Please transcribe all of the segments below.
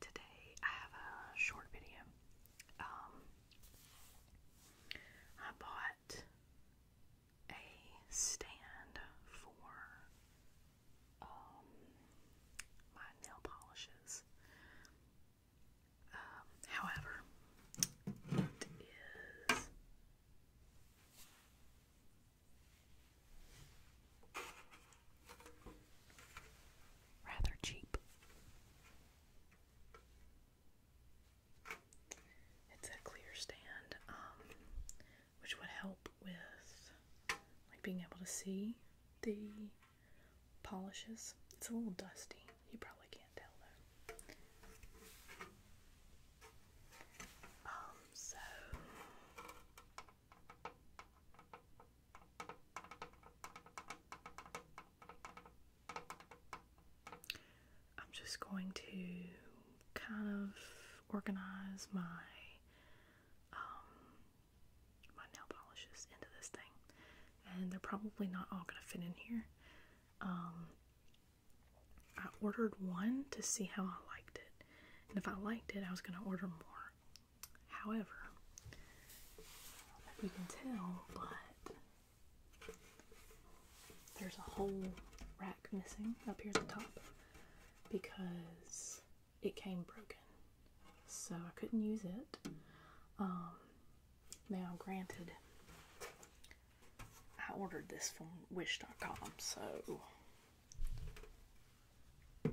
Today I have a short video. Um, I bought a stand for um, my nail polishes. Um, however, it is Rather cheap. It's a clear stand, um, which would help with like being able to see the polishes. It's a little dusty. You probably can't tell though. Um, so I'm just going to kind of organize my um, my nail polishes into this thing, and they're probably not all going to fit in here. Um, I ordered one to see how I liked it, and if I liked it, I was going to order more. However, if you can tell, but there's a whole rack missing up here at the top because it came broken. So I couldn't use it. Um, now, granted, I ordered this from Wish.com, so I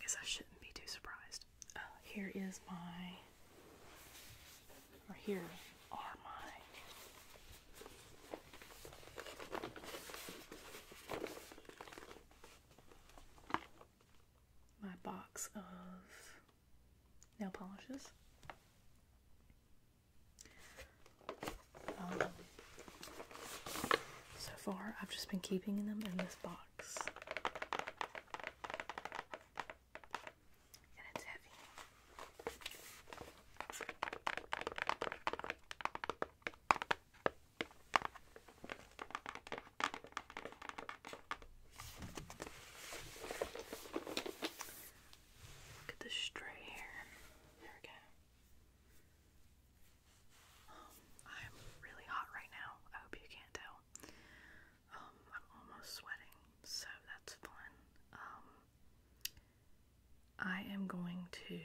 guess I shouldn't be too surprised. Uh, here is my, or here are my my box of nail polishes. Um, so far, I've just been keeping them in this box. And it's heavy. Look at the stray hair. There we go. Um, I'm really hot right now. I hope you can't tell. Um, I'm almost sweating, so that's fun. Um, I am going to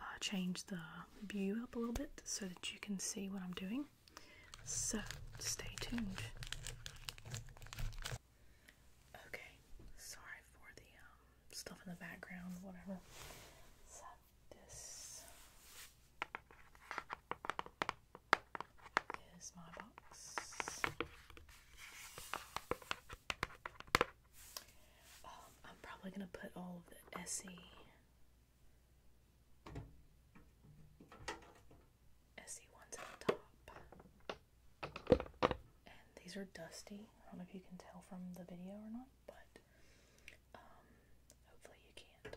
uh, change the view up a little bit so that you can see what I'm doing. So stay tuned. Okay, sorry for the um, stuff in the background, whatever. this is my box. Um, I'm probably gonna put all the Essie Essie ones at the top. And these are dusty. I don't know if you can tell from the video or not, but um, hopefully you can't.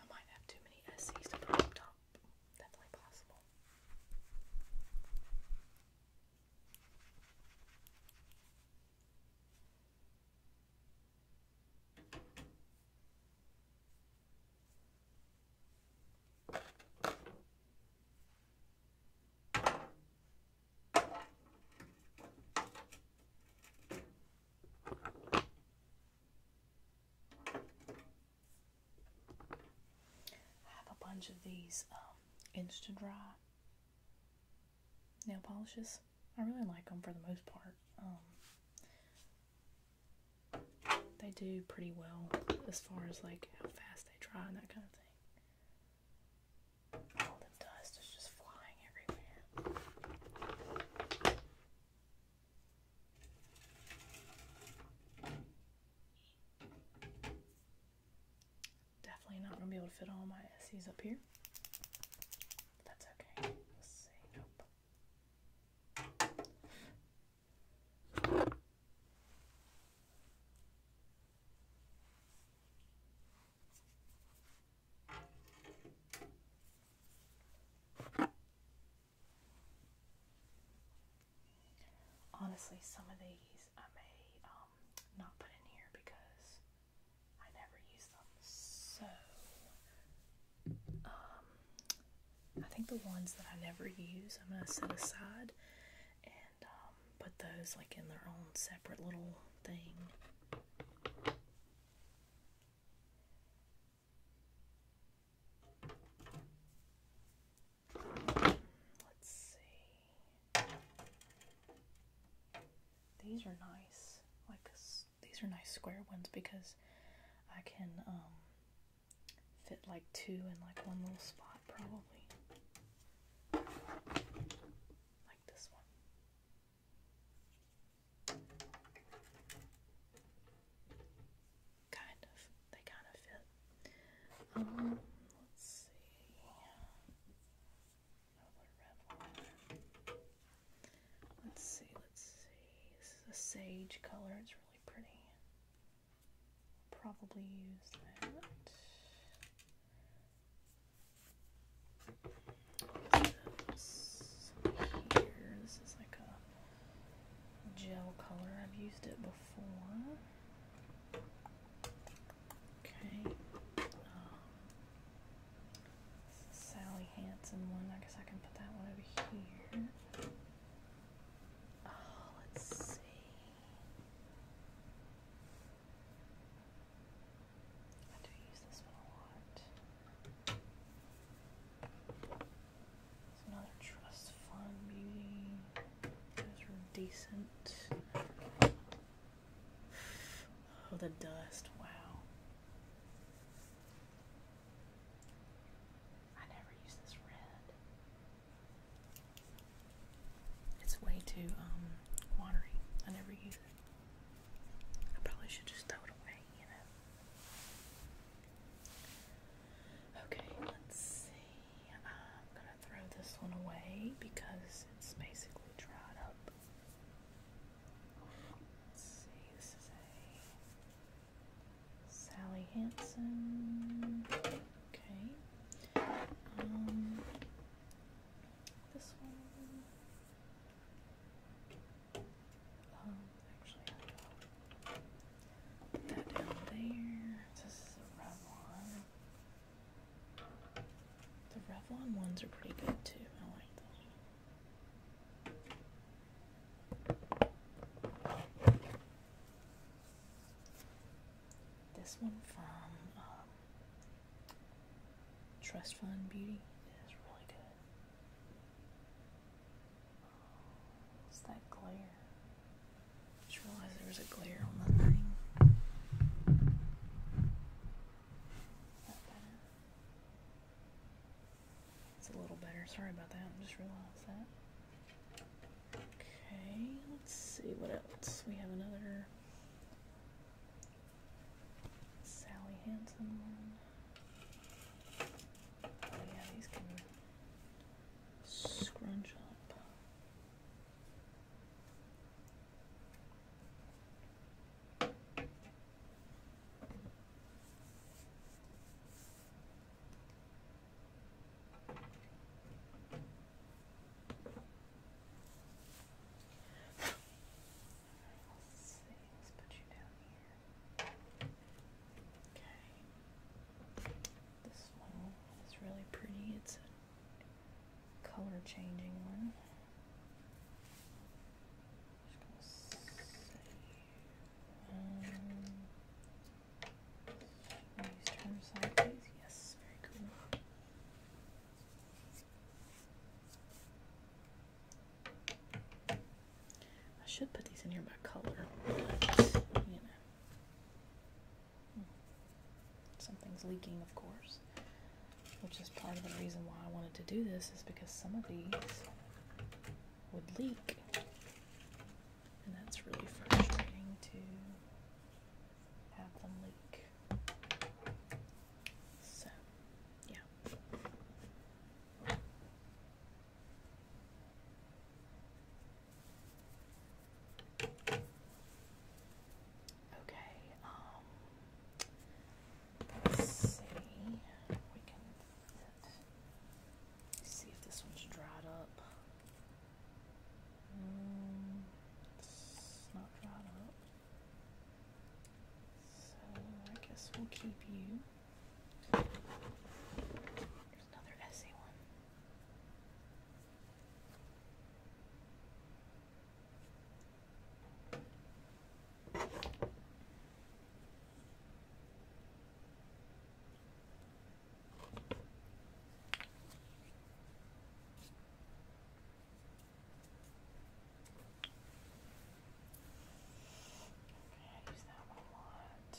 I might have too many SCs to put up top. Definitely possible. I have a bunch of these um, Insta Dry nail polishes. I really like them for the most part. Um, they do pretty well as far as like how fast they dry and that kind of thing. All the dust is just flying everywhere. Definitely not going to be able to fit all my Essies up here. that's okay. let Nope. Honestly, some of these I may um, not put in here because I never use them. So, um, I think the ones that I never use, I'm gonna set aside and um, put those like in their own separate little thing. Let's see. These are nice, like these are nice square ones because I can um, fit like two in like one little spot probably like this one kind of they kind of fit um, let's see another red Let's see, let's see. This is a sage color, it's really pretty. Probably use that. This here. This is like a gel color. I've used it before. Okay. Um, Sally Hansen one. I guess I can put that one over here. Oh, let's see. I do use this one a lot. There's another trust fund beauty. Those decent. Oh, the dust. Wow. I never use this red. It's way too um watery. I never use it. I probably should just throw it away, you know. Okay, let's see. I'm gonna throw this one away because it's basically dried up. Let's Sally Hansen. Okay. Um, this one. Um, that down there. This is a Revlon. The Revlon ones are pretty good too. I like them. This one from um, Trust Fund Beauty is really good. What's oh, that glare? just realized there was a glare on the thing. It's a little better. Sorry about that. I just realized that. Okay, let's see what else. We have another Sally Hansen one. Oh yeah, these can scrunch up. Let's put you down here. Okay. This one is really pretty. It's a color changing one. I should put these in here by color, you know. Hmm. Something's leaking, of course which is part of the reason why I wanted to do this is because some of these would leak and that's really frustrating to have them leak. So, yeah. Okay, um, Let's see. We can see if this one's dried up. Mm, it's not dried up. So I guess we'll keep you. There's another essay one use that one a lot.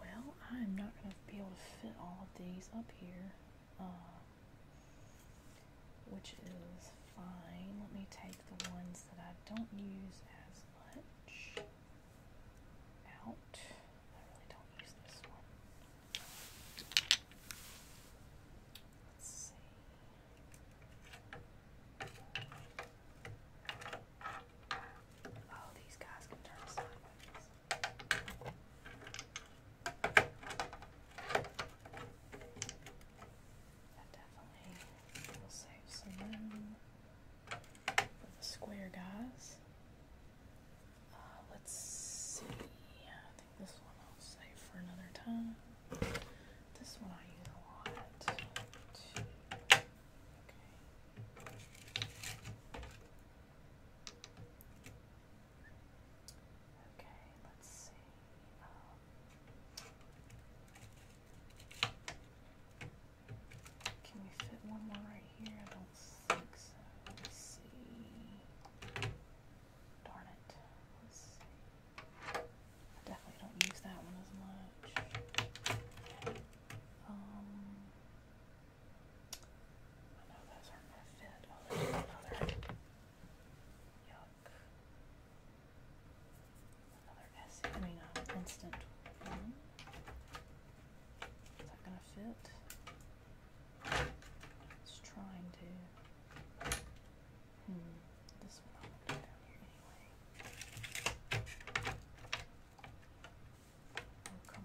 Well, I'm not going to be able to fit all of these up here, uh, which is fine. Let me take the ones that I don't use as much out. I really don't use this one. Let's see. Oh, these guys can turn sideways. That definitely will save some room for the square guys. Uh, let's see. I think this one will save for another time. This one I use a lot. Okay. Okay, let's see. Um, can we fit one more right here? I don't think so. Let's see. Darn it. Let's see. I definitely don't use that one as much. Um, I know those aren't gonna fit. another. Oh, Yuck. Another S. I mean, uh, instant one. Is that gonna fit? It's trying to. Hmm. This one I'll put down here anyway. Oh, come on.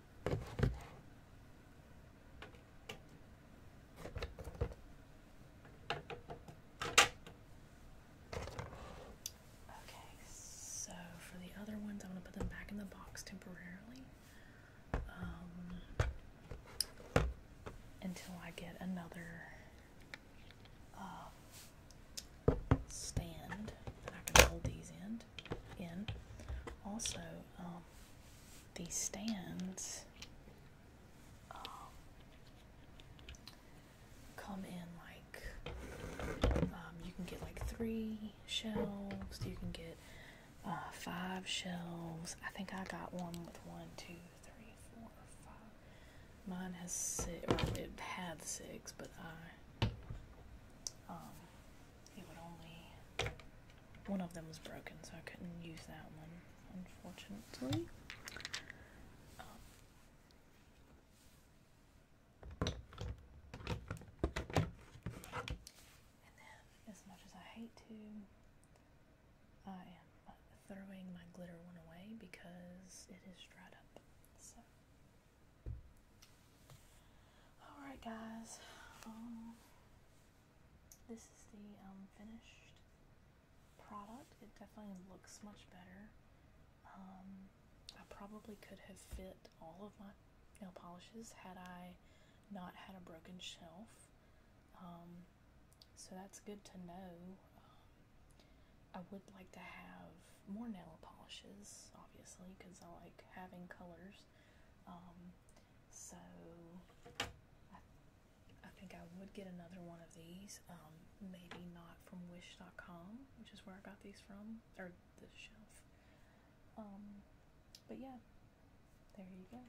Okay, so for the other ones, I'm going to put them back in the box temporarily um, until I get another um, stand that hold these in in. Also, um, these stands um, come in like um, you can get like three shelves, you can get uh, five shelves. I think I got one with one, two, three, four, five. Mine has six, it had six, but I it would only one of them was broken, so I couldn't use that one, unfortunately. Um, and then, as much as I hate to, I am throwing my glitter one away because it is dried up. So, Alright guys, um, this is the um, finished product. It definitely looks much better. Um, I probably could have fit all of my nail polishes had I not had a broken shelf. so that's good to know. I would like to have more nail polishes, obviously, because I like having colors. Um, so I, think I would get another one of these. Um, maybe not from Wish.com, which is where I got these from, or the shelf. Um, but yeah, there you go.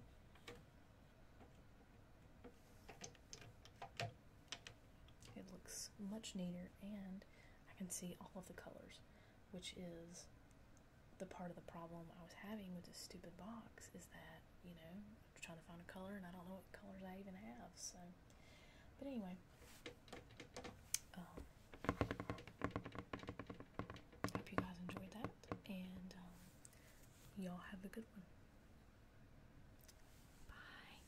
It looks much neater, and I can see all of the colors which is the part of the problem I was having with this stupid box is that, you know, I'm trying to find a color and I don't know what colors I even have. So, but anyway, um, hope you guys enjoyed that and um, y'all have a good one. Bye.